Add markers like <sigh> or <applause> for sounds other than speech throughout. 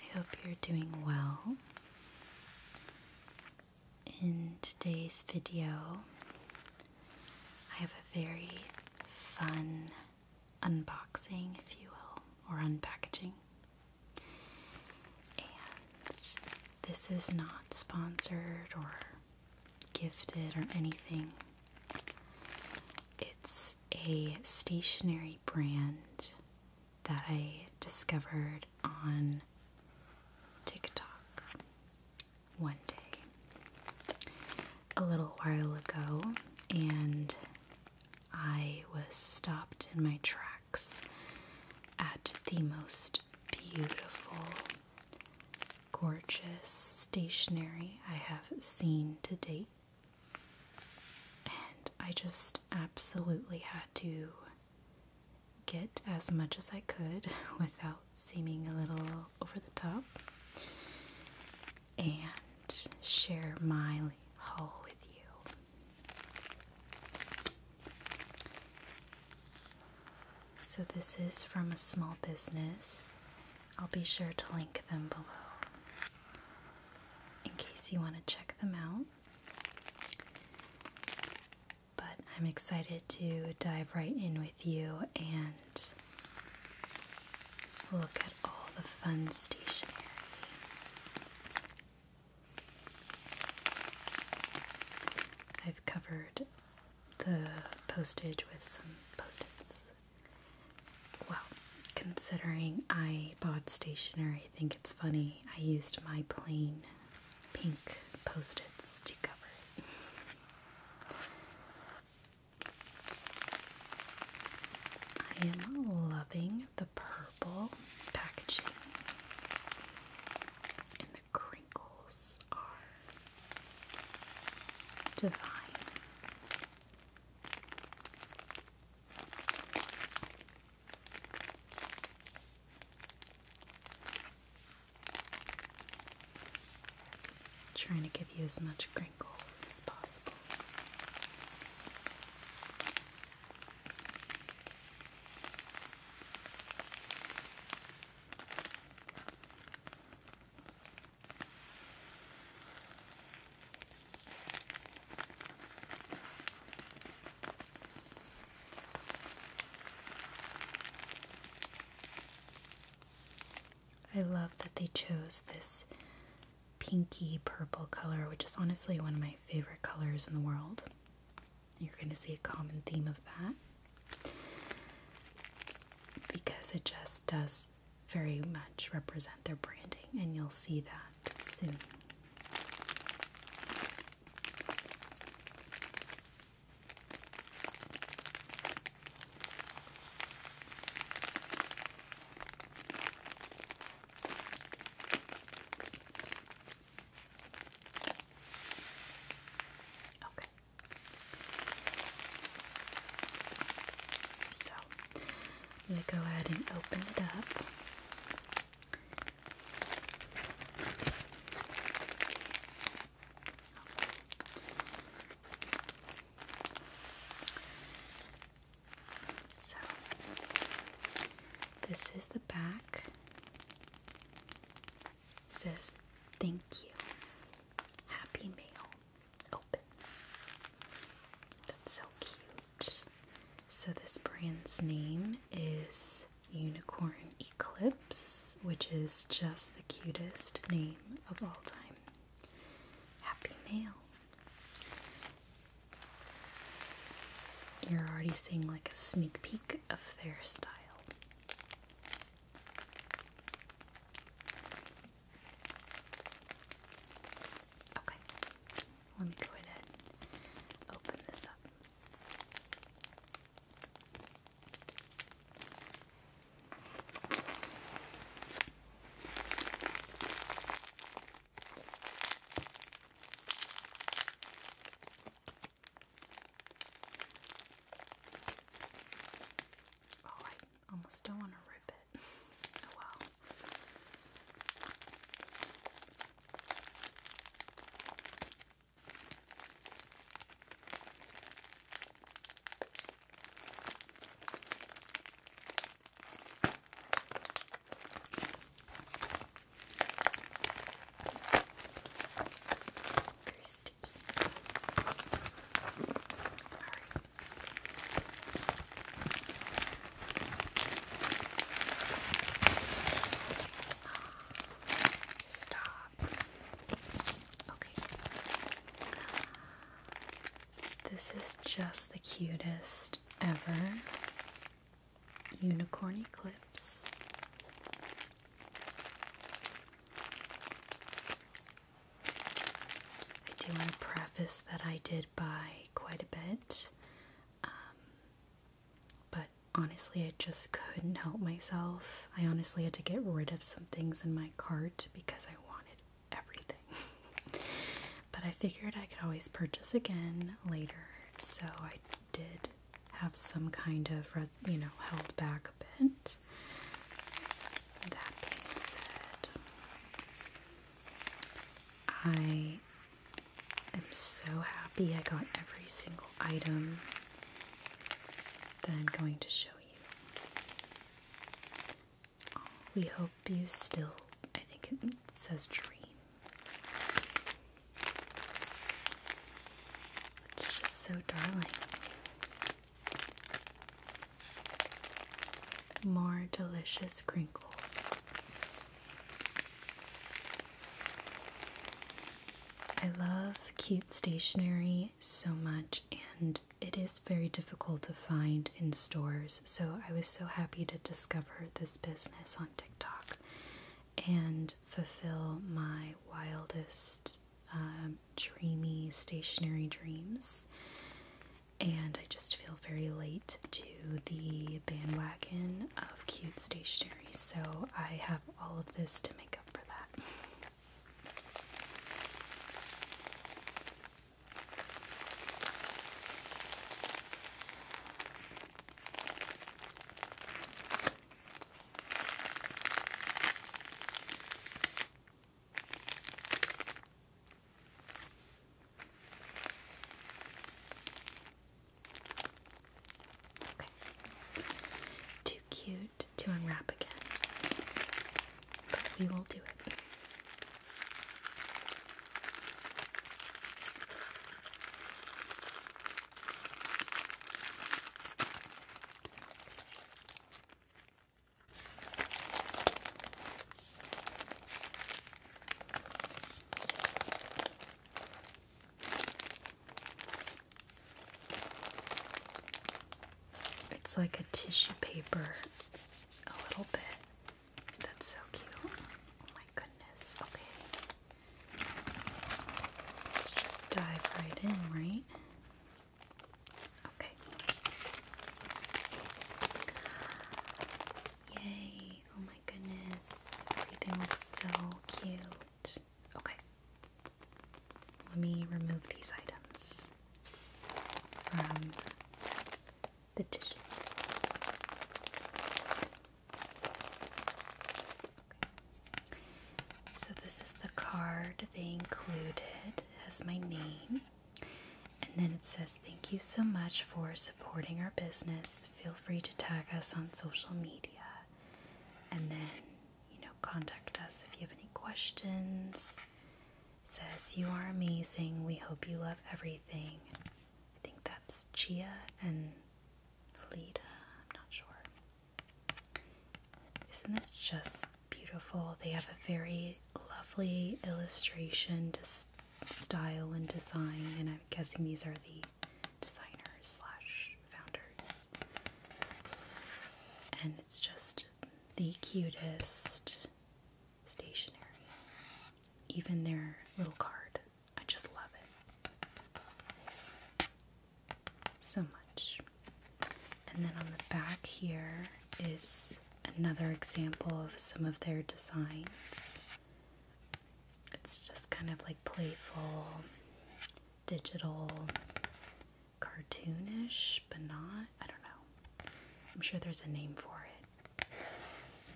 I hope you're doing well. In today's video, I have a very fun unboxing, if you will, or unpackaging. And this is not sponsored or gifted or anything. It's a stationary brand that I discovered on TikTok one day a little while ago, and I was stopped in my tracks at the most beautiful, gorgeous stationery I have seen to date. And I just absolutely had to get as much as I could <laughs> without seeming a little over the top and share my haul with you. So, this is from a small business. I'll be sure to link them below in case you want to check them out. But I'm excited to dive right in with you and look at all the fun stationery. I've covered the postage with some post-its. Well, considering I pod stationery. I think it's funny. I used my plain pink post-its to cover it. I am loving the purple packaging. And the crinkles are divine. Trying to give you as much crinkles as possible. I love that they chose this pinky purple color, which is honestly one of my favorite colors in the world. You're going to see a common theme of that because it just does very much represent their branding, and you'll see that that soon. Okay. So, I'm go ahead and open it up. So, this is the back. says, Thank you. Happy mail. Open. That's so cute. So, this brand's name is Unicorn Eclipse, which is just the cutest name of all time. Happy mail. You're already seeing like a sneak peek of their style. Okay. Let me go ahead and open this up. Oh, I almost don't want to rip it. <laughs> Oh well. Kirsty. All right. Stop. Okay. This is just the cutest ever. Unicorn Eclipse. I do want to preface that I did buy quite a bit. Um, but honestly, I just couldn't help myself. I honestly had to get rid of some things in my cart because I wanted everything. <laughs> but I figured I could always purchase again later, so I did have some kind of, you know, held back a bit. That being said, I I am so happy I got every single item that I'm going to show you. We hope you still, I think it says dream. It's just so darling. More delicious crinkles. I love cute stationery so much, and it is very difficult to find in stores. So I was so happy to discover this business on TikTok and fulfill my wildest, um, dreamy stationery dreams. And I just feel very late to the bandwagon of cute stationery, so I have all of this to make up for that. Too cute to unwrap again. But we will do it. It's like a tissue paper, a little bit. That's so cute. Oh my goodness. Okay. Let's just dive right in, right? Okay. Yay! Oh my goodness. Everything looks so cute. Okay. Let me remove these items from the tissue. So this is the card they included. It has my name. And then it says, Thank you so much for supporting our business feel free to tag us on social media and then, you know, contact us if you have any questions. says, You are amazing. We hope you love everything. I think that's Chia and Lita. I'm not sure. Isn't this just beautiful? They have a very lovely illustration to style and design, and I'm guessing these are the designers slash founders. And it's just the cutest stationery. Even their little card. I just love it. So much. And then on the back here is another example of some of their designs. It's just kind of like playful, digital, cartoonish, but not. I don't know. I'm sure there's a name for it.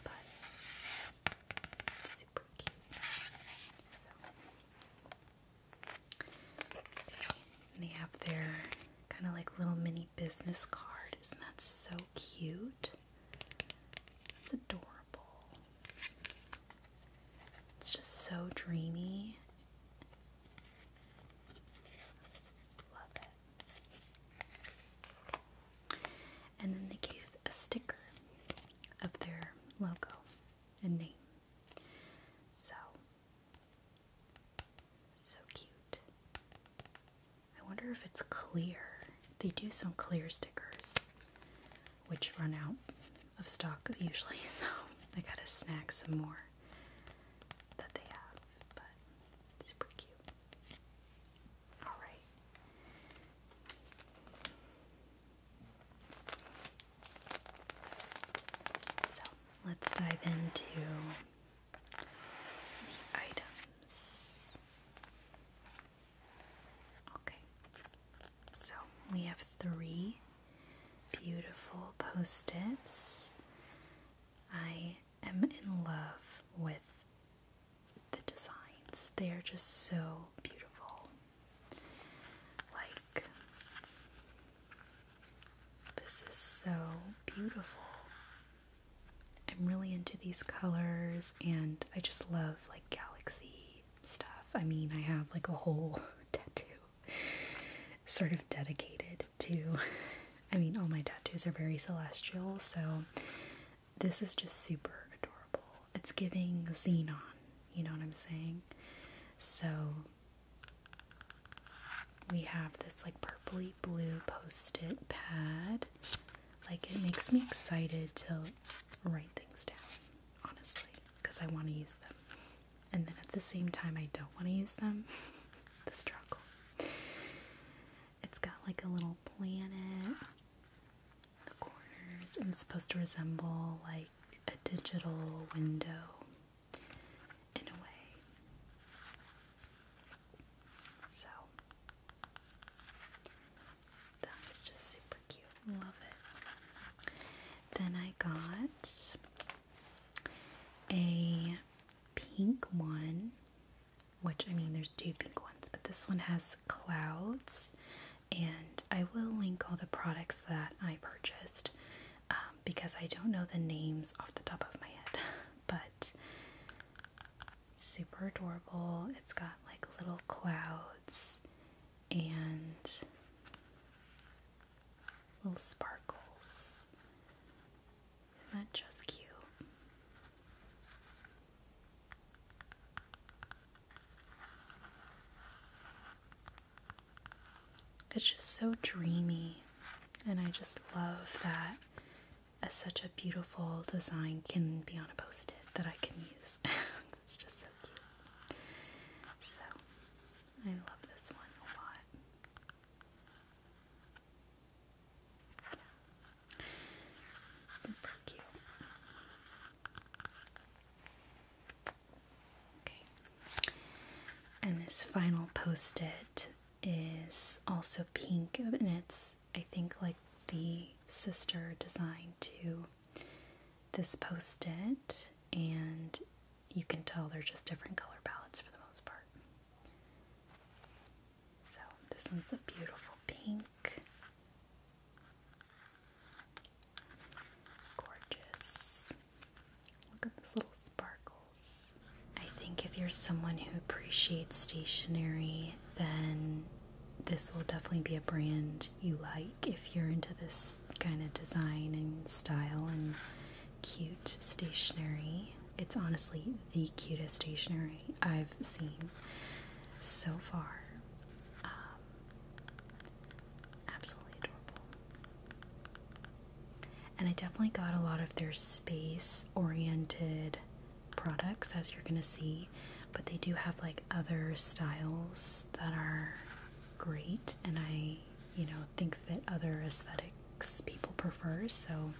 But super cute. So. they have their kind of like little mini business card. Isn't that so cute? It's adorable. It's just so dreamy. Love it. And then they gave a sticker of their logo and name. So, so cute. I wonder if it's clear. They do some clear stickers, which run out of stock usually, <laughs> so I gotta snag some more that they have, but super cute. Alright. So let's dive into the items. Okay, so we have three beautiful post its. I am in love with the designs, they are just so beautiful. Like, this is so beautiful. I'm really into these colors and I just love like galaxy stuff. I mean, I have like a whole <laughs> tattoo sort of dedicated to I mean, all my tattoos are very celestial, so this is just super adorable. It's giving xenon, you know what I'm saying? So we have this like purpley blue post-it pad. Like it makes me excited to write things down, honestly, because I want to use them. And then at the same time, I don't want to use them. <laughs> the struggle. It's got like a little planet, the corners, and it's supposed to resemble like a digital window in a way. So that's just super cute. Love it. Then I got a pink one, which I mean, there's two pink ones, but this one has clouds. And I will link all the products that I purchased um, because I don't know the names off the top of my head. <laughs> But super adorable. It's got like little clouds and little sparkles. Isn't that just cute? It's just so dreamy, and I just love that as such a a beautiful design can be on a post it that I can use. <laughs> so I love this one a lot. Super cute. Okay. And this final post it is also pink and it's I think, like the sister design to this post it, and you can tell they're just different color palettes for the most part. So, this one's a beautiful pink. Gorgeous. Look at those little sparkles. I think if you're someone who appreciates stationery, then this will definitely be a brand you like if you're into this kind of design and style and cute stationery. It's honestly the cutest stationery I've seen so far. Um, absolutely adorable. And I definitely got a lot of their space oriented products as you're gonna see, but they do have like other styles that are great and I, you know, think that other aesthetics people prefer, so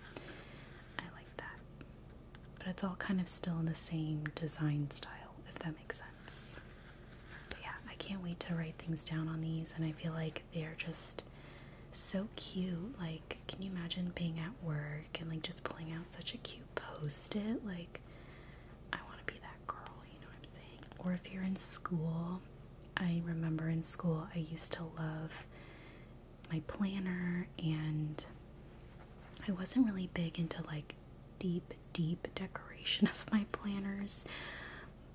I like that. But it's all kind of still in the same design style, if that makes sense. But yeah, I can't wait to write things down on these, and I feel like they're just so cute. Like, can you imagine being at work and like just pulling out such a cute post it like I want to be that girl, you know what I'm saying? Or if you're in school, I remember in school I used to love my planner and I wasn't really big into like deep deep decoration <laughs> of my planners,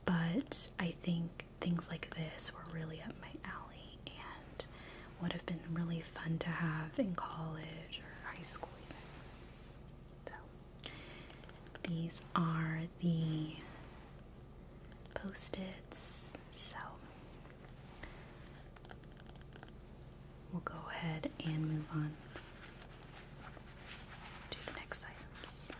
but I think things like this were really up my alley and would have been really fun to have in college or high school even. these are the post-its. So we'll go ahead and move on to the next items.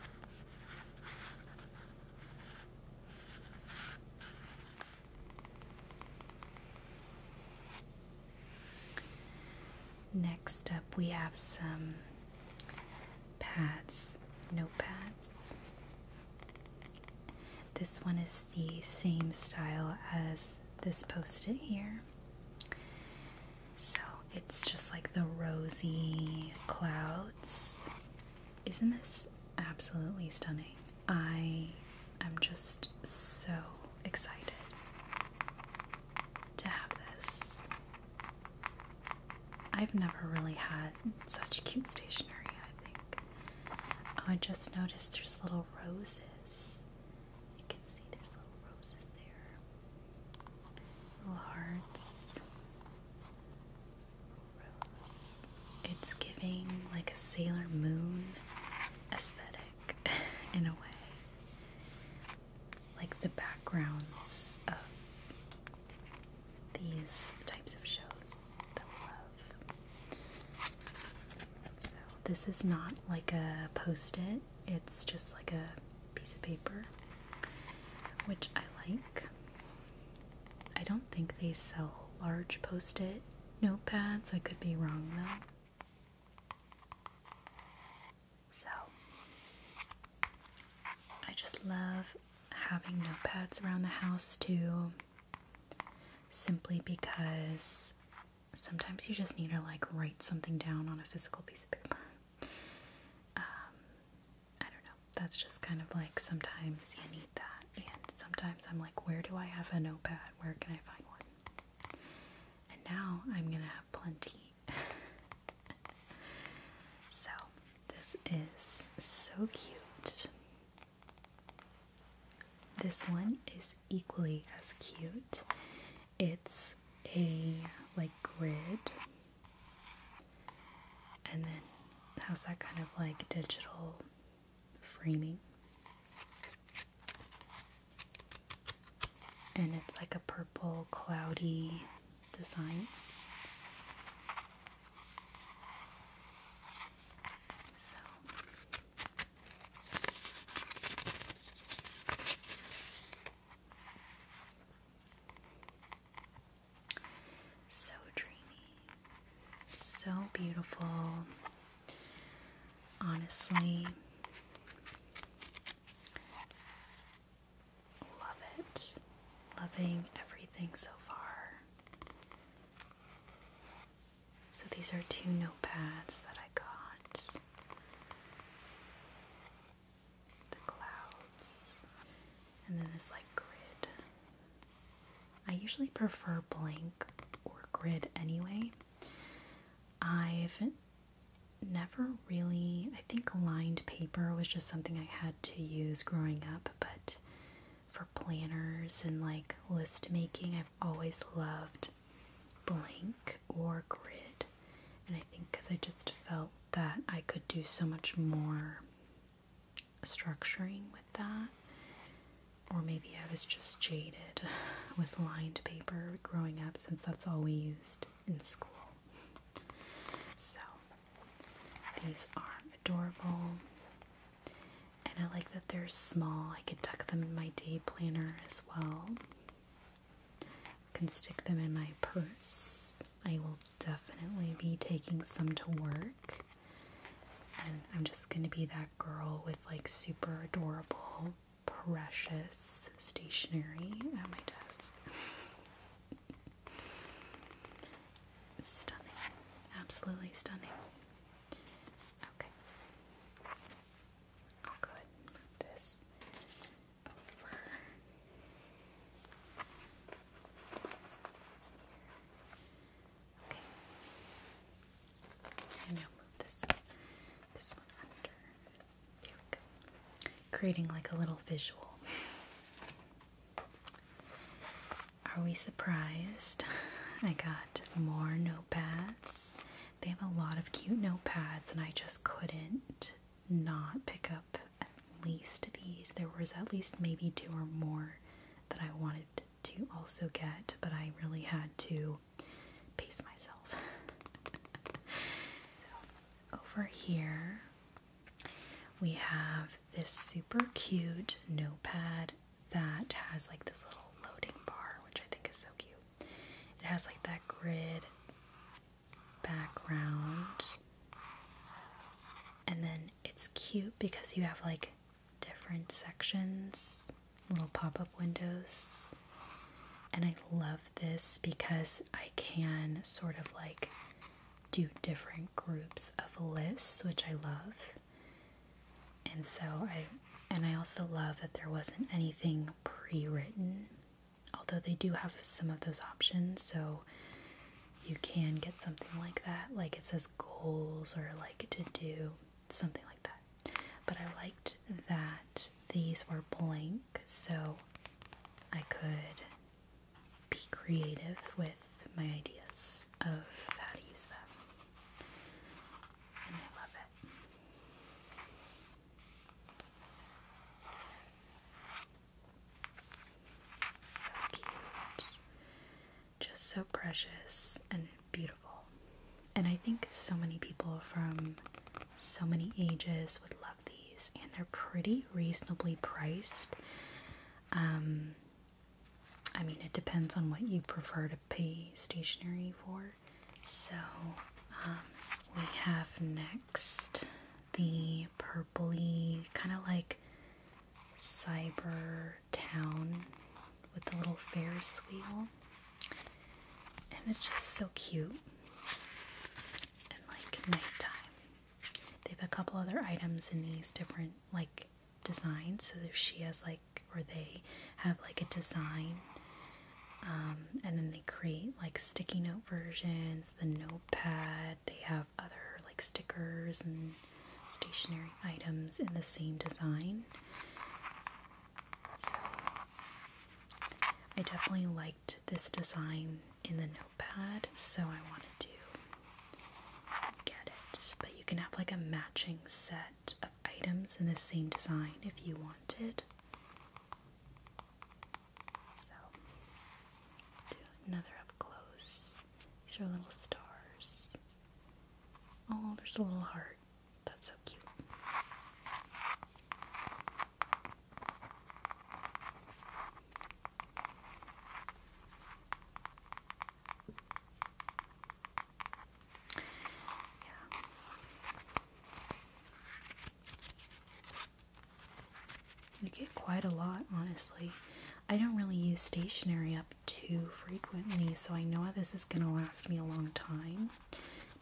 Next up, we have some pads, notepads. This one is the same style as this post it here. So it's just like the rosy clouds. Isn't this absolutely stunning? I am just so excited to have this. I've never really had such cute stationery, I think. Oh, I just noticed there's little roses. You can see there's little roses there. Little hearts. Rose. It's giving like a Sailor Moon aesthetic like in a way. Like the backgrounds of these types of shows this is not like a post it, it's just like a piece of paper, which I like. I don't think they sell large post it notepads, I could be wrong though. So, I just love having notepads around the house too, simply because sometimes you just need to like write something down on a physical piece of paper. Um, I don't know, that's just kind of like sometimes you need that, and sometimes I'm like, where do I have a notepad? Where can I find one? And now I'm gonna have plenty. <laughs> so, this is so cute. This one is equally as cute. It's a like grid and then has that kind of like digital framing. And it's like a purple cloudy design. So dreamy, so beautiful. Honestly, love it. Loving everything so far. So these are two notepads that I got. The clouds. And then this like grid. I usually prefer blank or grid anyway, I've never really, I think lined paper was just something I had to use growing up, but for planners and like list making, I've always loved blank or grid. And I think because I just felt that I could do so much more structuring with that or maybe I was just jaded <laughs> with lined paper growing up since that's all we used in school. So, these are adorable. And I like that they're small. I could tuck them in my day planner as well. I can stick them in my purse. I will definitely be taking some to work. And I'm just going to be that girl with like super adorable precious stationery at my desk. <laughs> stunning. Absolutely stunning. Okay. I'll this over. Okay. Creating like a little visual. Are we surprised? <laughs> I got more notepads. They have a lot of cute notepads, and I just couldn't not pick up at least these. There was at least maybe two or more that I wanted to also get, but I really had to pace myself. <laughs> so, over here we have this super cute notepad that has like this little loading bar, which I think is so cute. It has like that grid background, and then it's cute because you have like different sections little pop up windows. And I love this because I can sort of like do different groups of lists, which I love. And so I, and I also love that there wasn't anything pre written, although they do have some of those options. So you can get something like that, like it says goals or like to do something like that. But I liked that these were blank, so I could be creative with my ideas of how to use them. And I love it. So cute. Just so precious and beautiful. And I think so many people from so many ages would love these, and they're pretty reasonably priced. Um, I mean, it depends on what you prefer to pay stationery for. So, um, we have next the purply kind of like cyber town with the little Ferris wheel. And it's just so cute. And like nighttime. They have a couple other items in these different like designs. So she has like, or they have like a design. Um, and then they create like sticky note versions, the notepad. They have other like stickers and stationary items in the same design. So I definitely liked this design in the notepad, so I wanted to get it. But you can have like a matching set of items in the same design if you wanted. So do another up close. These are little stars. Oh, there's a little heart. That's so cute. Yeah. You get quite a lot, honestly. I don't really use stationery up too frequently, so I know this is going to last me a long time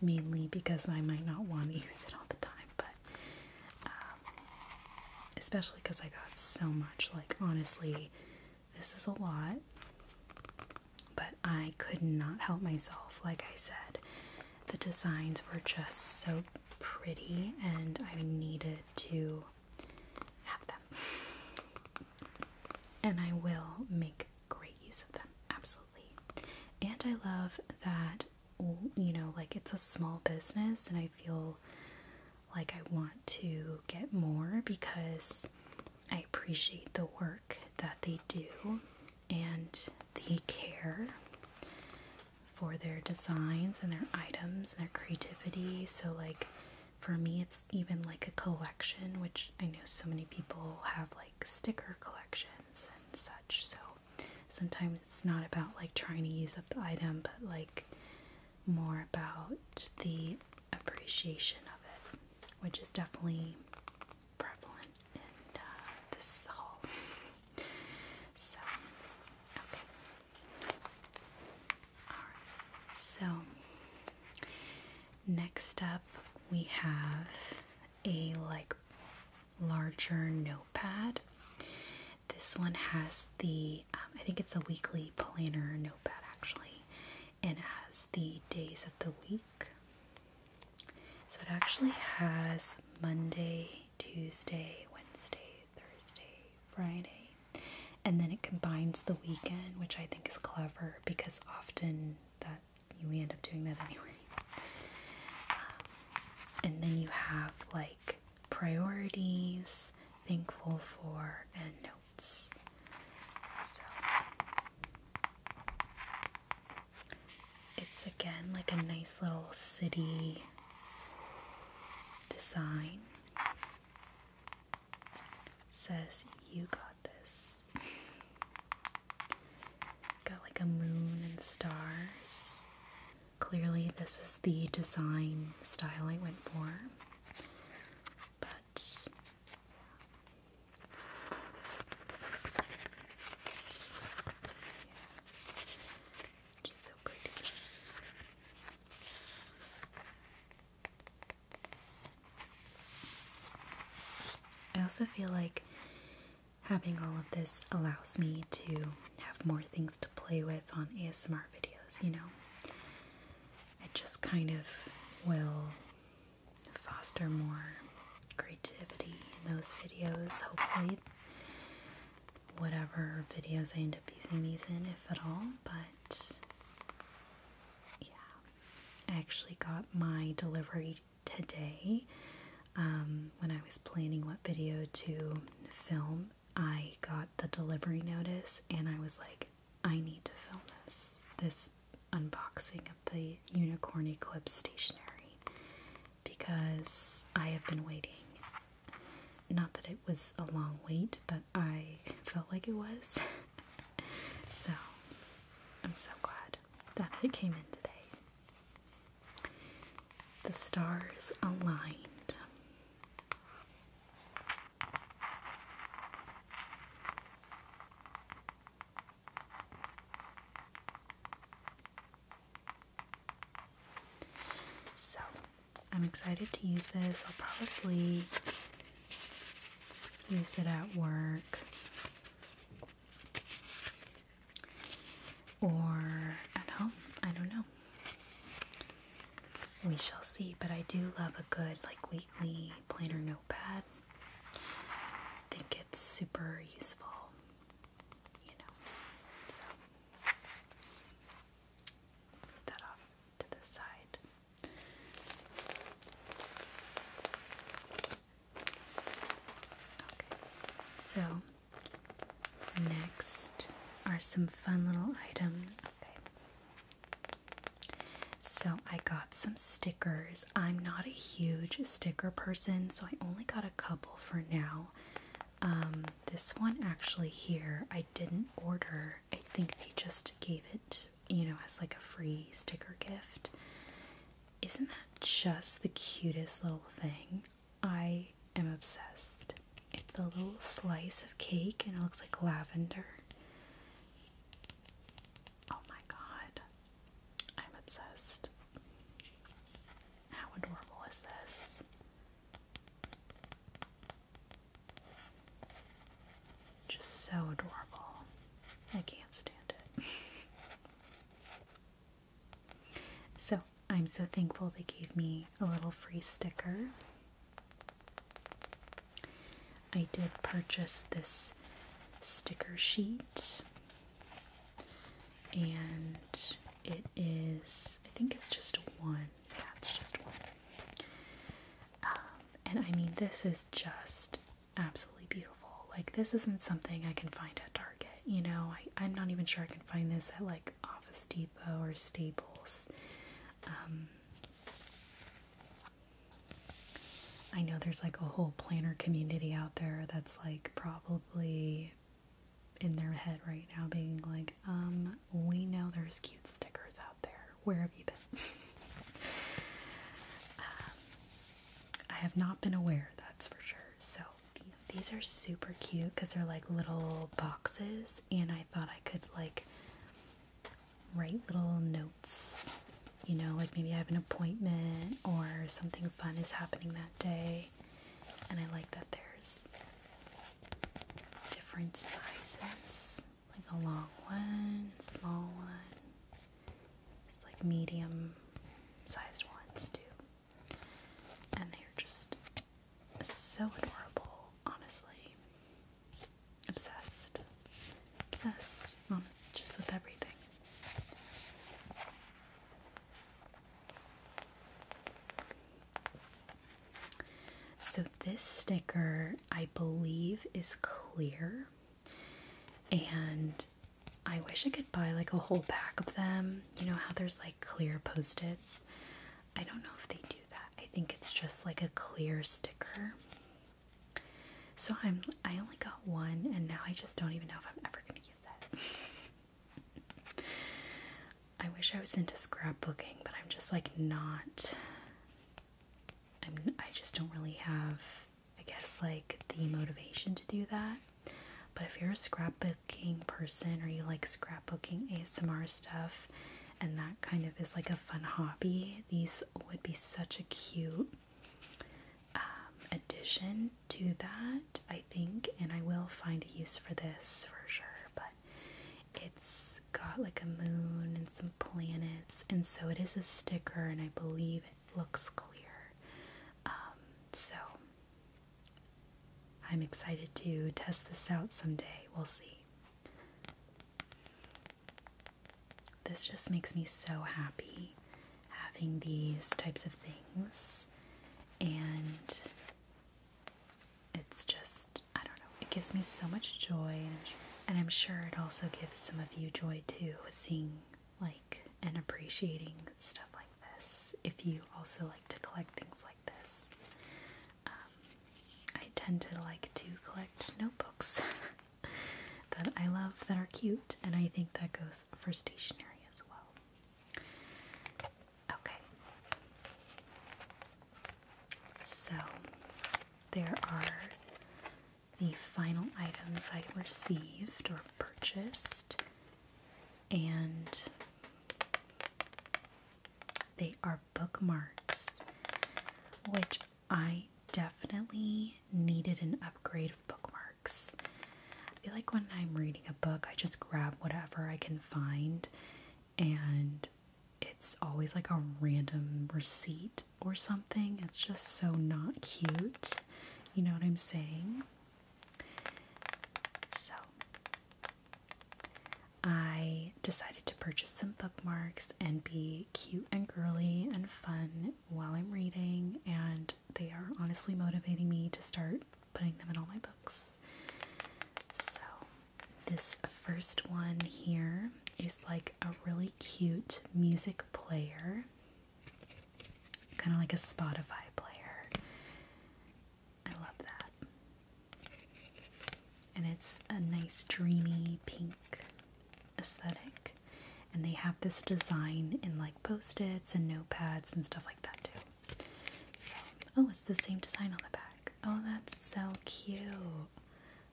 mainly because I might not want to <laughs> use it all the time, but um, especially because I got so much. Like, honestly, this is a lot, but I could not help myself. Like I said, the designs were just so pretty, and I needed to have them. <laughs> And I will make great use of them, absolutely. And I love that, you know, like it's a small business, and I feel like I want to get more because I appreciate the work that they do and the care for their designs and their items and their creativity. So, like, for me, it's even like a collection, which I know so many people have like sticker collections and such. So sometimes it's not about like trying to use up the item, but like more about the appreciation of it, which is definitely prevalent in uh, this haul. <laughs> so, okay. Alright, so next up we have a like larger notepad. This one has the um, I think it's a weekly planner notepad actually, and it has the days of the week. So it actually has Monday, Tuesday, Wednesday, Thursday, Friday, and then it combines the weekend, which I think is clever because often. That that we end up doing that anyway. Um, and then you have like priorities, thankful for, and notes. So it's again like a nice little city design. says you got Got like a moon and stars. Clearly, this is the design style I went for. But just so pretty. I also feel like having all of this allows me to have more things to play with on ASMR videos, you know? It just kind of will foster more creativity in those videos, hopefully. Whatever videos I end up using these in, if at all, but yeah. I actually got my delivery today. Um, when I was planning what video to film, I got the delivery notice and I was like, I need to film this. This unboxing of the Unicorn Eclipse stationery because I have been waiting. Not that it was a long wait, but I felt like it was. <laughs> so I'm so glad that it came in today. The stars aligned. So, I'm excited to use this. I'll probably use it at work or at home. I don't know. We shall see, but I do love a good like weekly planner notepad. I think it's super useful, you know. So put that off to the side so next are some fun little items. So I got some stickers. I'm not a huge sticker person, so I only got a couple for now. Um, this one actually here, I didn't order. I think they just gave it, you know, as like a free sticker gift. Isn't that just the cutest little thing? I am obsessed. It's a little slice of cake and it looks like lavender. Oh my god. I'm obsessed. How adorable is this? Just so adorable. I can't stand it. <laughs> So, I'm so thankful they gave me a little free sticker. I did purchase this sticker sheet, and it is, I think it's just one. Yeah, it's just one. Um, and I mean, this is just absolutely beautiful. Like this isn't something I can find at Target. You know, I, am not even sure I can find this at like Office Depot or Staples. Um, I know there's like a whole planner community out there that's like probably in their head right now being like, um, we know there's cute stickers out there. Where have you been? <laughs> Um, I have not been aware, that's for sure. So these, are super cute because they're like little boxes, and I thought I could like write little notes. You know, like maybe I have an appointment or something fun is happening that day. And I like that there's different sizes like a long one, small one, like medium sized ones too. And they're just so adorable, honestly. Obsessed. Obsessed on um, just with everything. So, this sticker, I believe, is clear. And I wish I could buy like a whole pack of them. You know how there's like clear post its? I don't know if they do that. I think it's just like a clear sticker. So I'm I only got one and now I just don't even know if I'm ever gonna use that. <laughs> I wish I was into scrapbooking, but I'm just like not I'm I just don't really have I guess, like the motivation to do that. But if you're a scrapbooking person or you like scrapbooking ASMR stuff and that kind of is like a fun hobby, these would be such a cute um, addition to that, I think. And I will find a use for this for sure. But it's got like a moon and some planets, and so it is a sticker, and I believe looks clear. Um, so I'm excited to test this out someday. We'll see. This just makes me so happy having these types of things, and it's just, I don't know, it gives me so much joy, and I'm sure it also gives some of you joy too, seeing like and appreciating stuff like this if you also like to collect things like this. Um, I tend to like to collect notebooks <laughs> that I love that are cute, and I think that goes for stationery as well. Okay. So there are the final items I received or purchased, and they are bookmarks, which I definitely needed an upgrade of bookmarks. I feel like when I'm reading a book, I just grab whatever I can find, and it's always like a random receipt or something. It's just so not cute. You know what I'm saying? So, I decided to purchase some bookmarks and be cute and girly and fun while I'm reading, and they are honestly motivating me to start putting them in all my books. So, this first one here is like a really cute music player. Kind of like a Spotify player. I love that. And it's a nice dreamy pink aesthetic. And they have this design in like post-its and notepads and stuff like that too. oh, it's the same design on the back. Oh, that's so cute.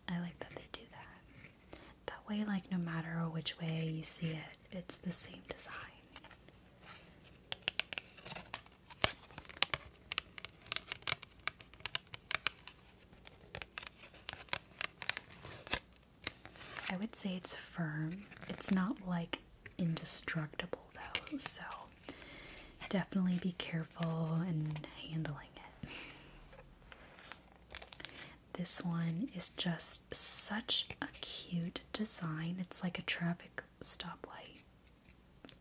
I like that they do that. That way, like no matter which way you see it, it's the same design. I would say it's firm. It's not like indestructible though, so definitely be careful in handling it. This one is just such a cute design. It's like a traffic stoplight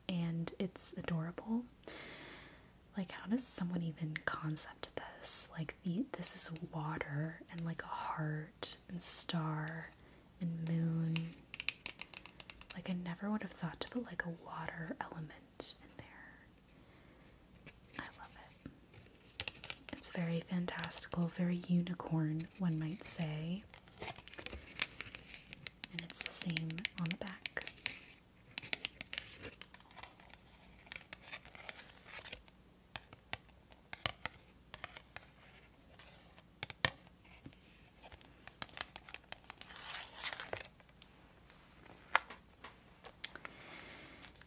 and it's adorable. Like how does someone even concept this? Like this is water and like a heart and star and moon. Like I never would have thought to put like a water element in there. I love it. It's very fantastical, very unicorn, one might say. And it's the same on the back.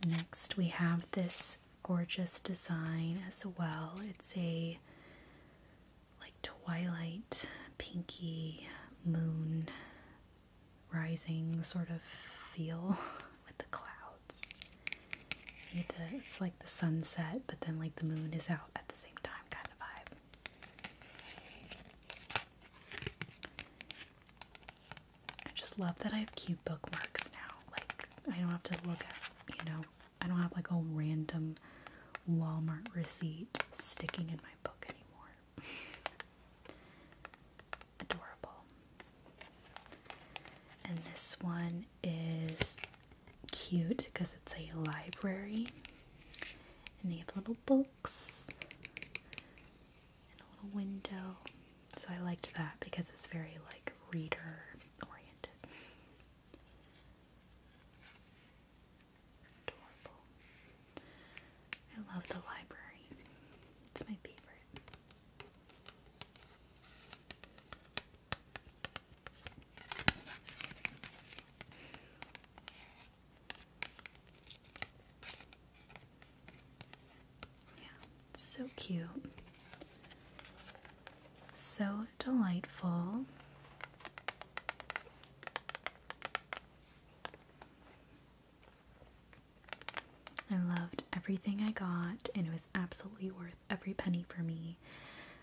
Next, we have this gorgeous design as well. It's a like twilight, pinky moon rising sort of feel <laughs> with the clouds. it's like the sunset, but then like the moon is out at the same time kind of vibe. I just love that I have cute bookmarks now. Like I don't have to look at, you know, I don't have like a random Walmart receipt sticking in my book anymore. <laughs> Adorable. And this one is cute because it's a library. And they have little books and a little window. So I liked that because it's very like reader oriented. I love the library. It's my favorite. Yeah, so cute. So delightful. I loved everything I got, and it was absolutely worth every penny for me.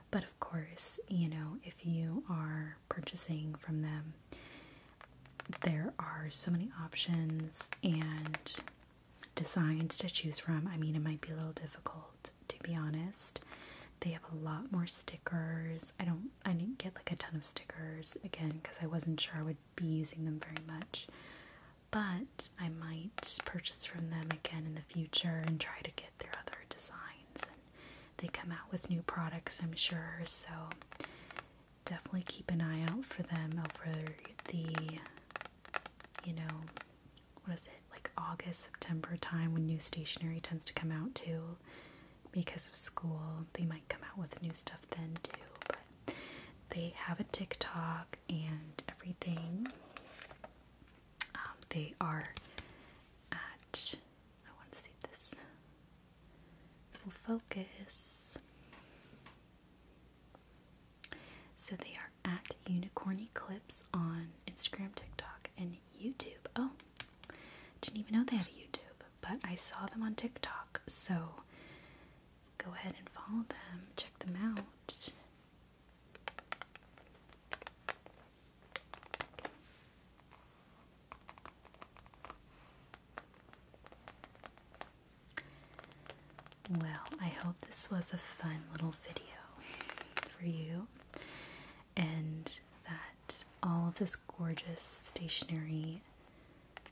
But of course, you know, if you are purchasing from them, there are so many options, and designs to choose from. I mean, it might be a little difficult to be honest. They have a lot more stickers. I don't I didn't get like a ton of stickers again because I wasn't sure I would be using them very much. But I might purchase from them again in the future and try to get their other designs they come out with new products, I'm sure. So definitely keep an eye out for them over the you know what is it, like August, September time when new stationery tends to come out too. Because of school, they might come out with new stuff then too. But they have a TikTok and everything. Um, they are at, I want to see this. we focus. So they are at Unicorn Eclipse on Instagram, TikTok, and YouTube. Oh, didn't even know they had YouTube, but I saw them on TikTok. So go ahead and follow them, check them out. Well, I hope this was a fun little video for you and that all of this gorgeous stationery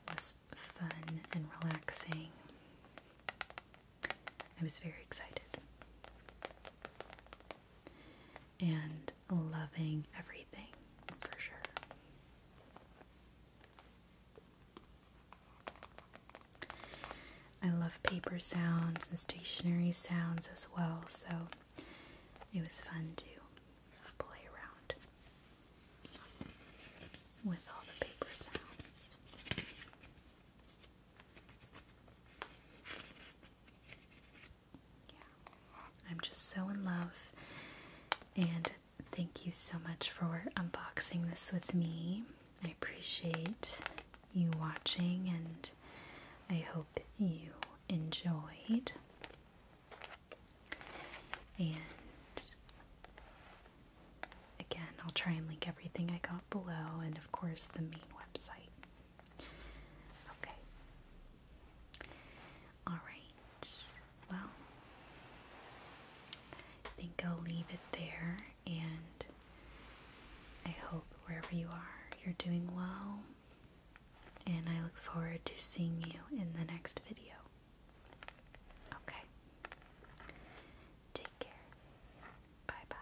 was fun and relaxing. I was very excited and loving everything for sure. I love paper sounds and stationary sounds as well, so it was fun to play around with all the paper sounds. I'm just so in love and thank you so much for unboxing this with me. I appreciate you watching and I hope you enjoyed. And again, I'll try and link everything I got below and, of course, the main website. Okay. Alright. Well, I think I'll leave it there and I hope wherever you are, you're doing well. And I look forward to seeing you in the next video. Okay. Take care. Bye bye.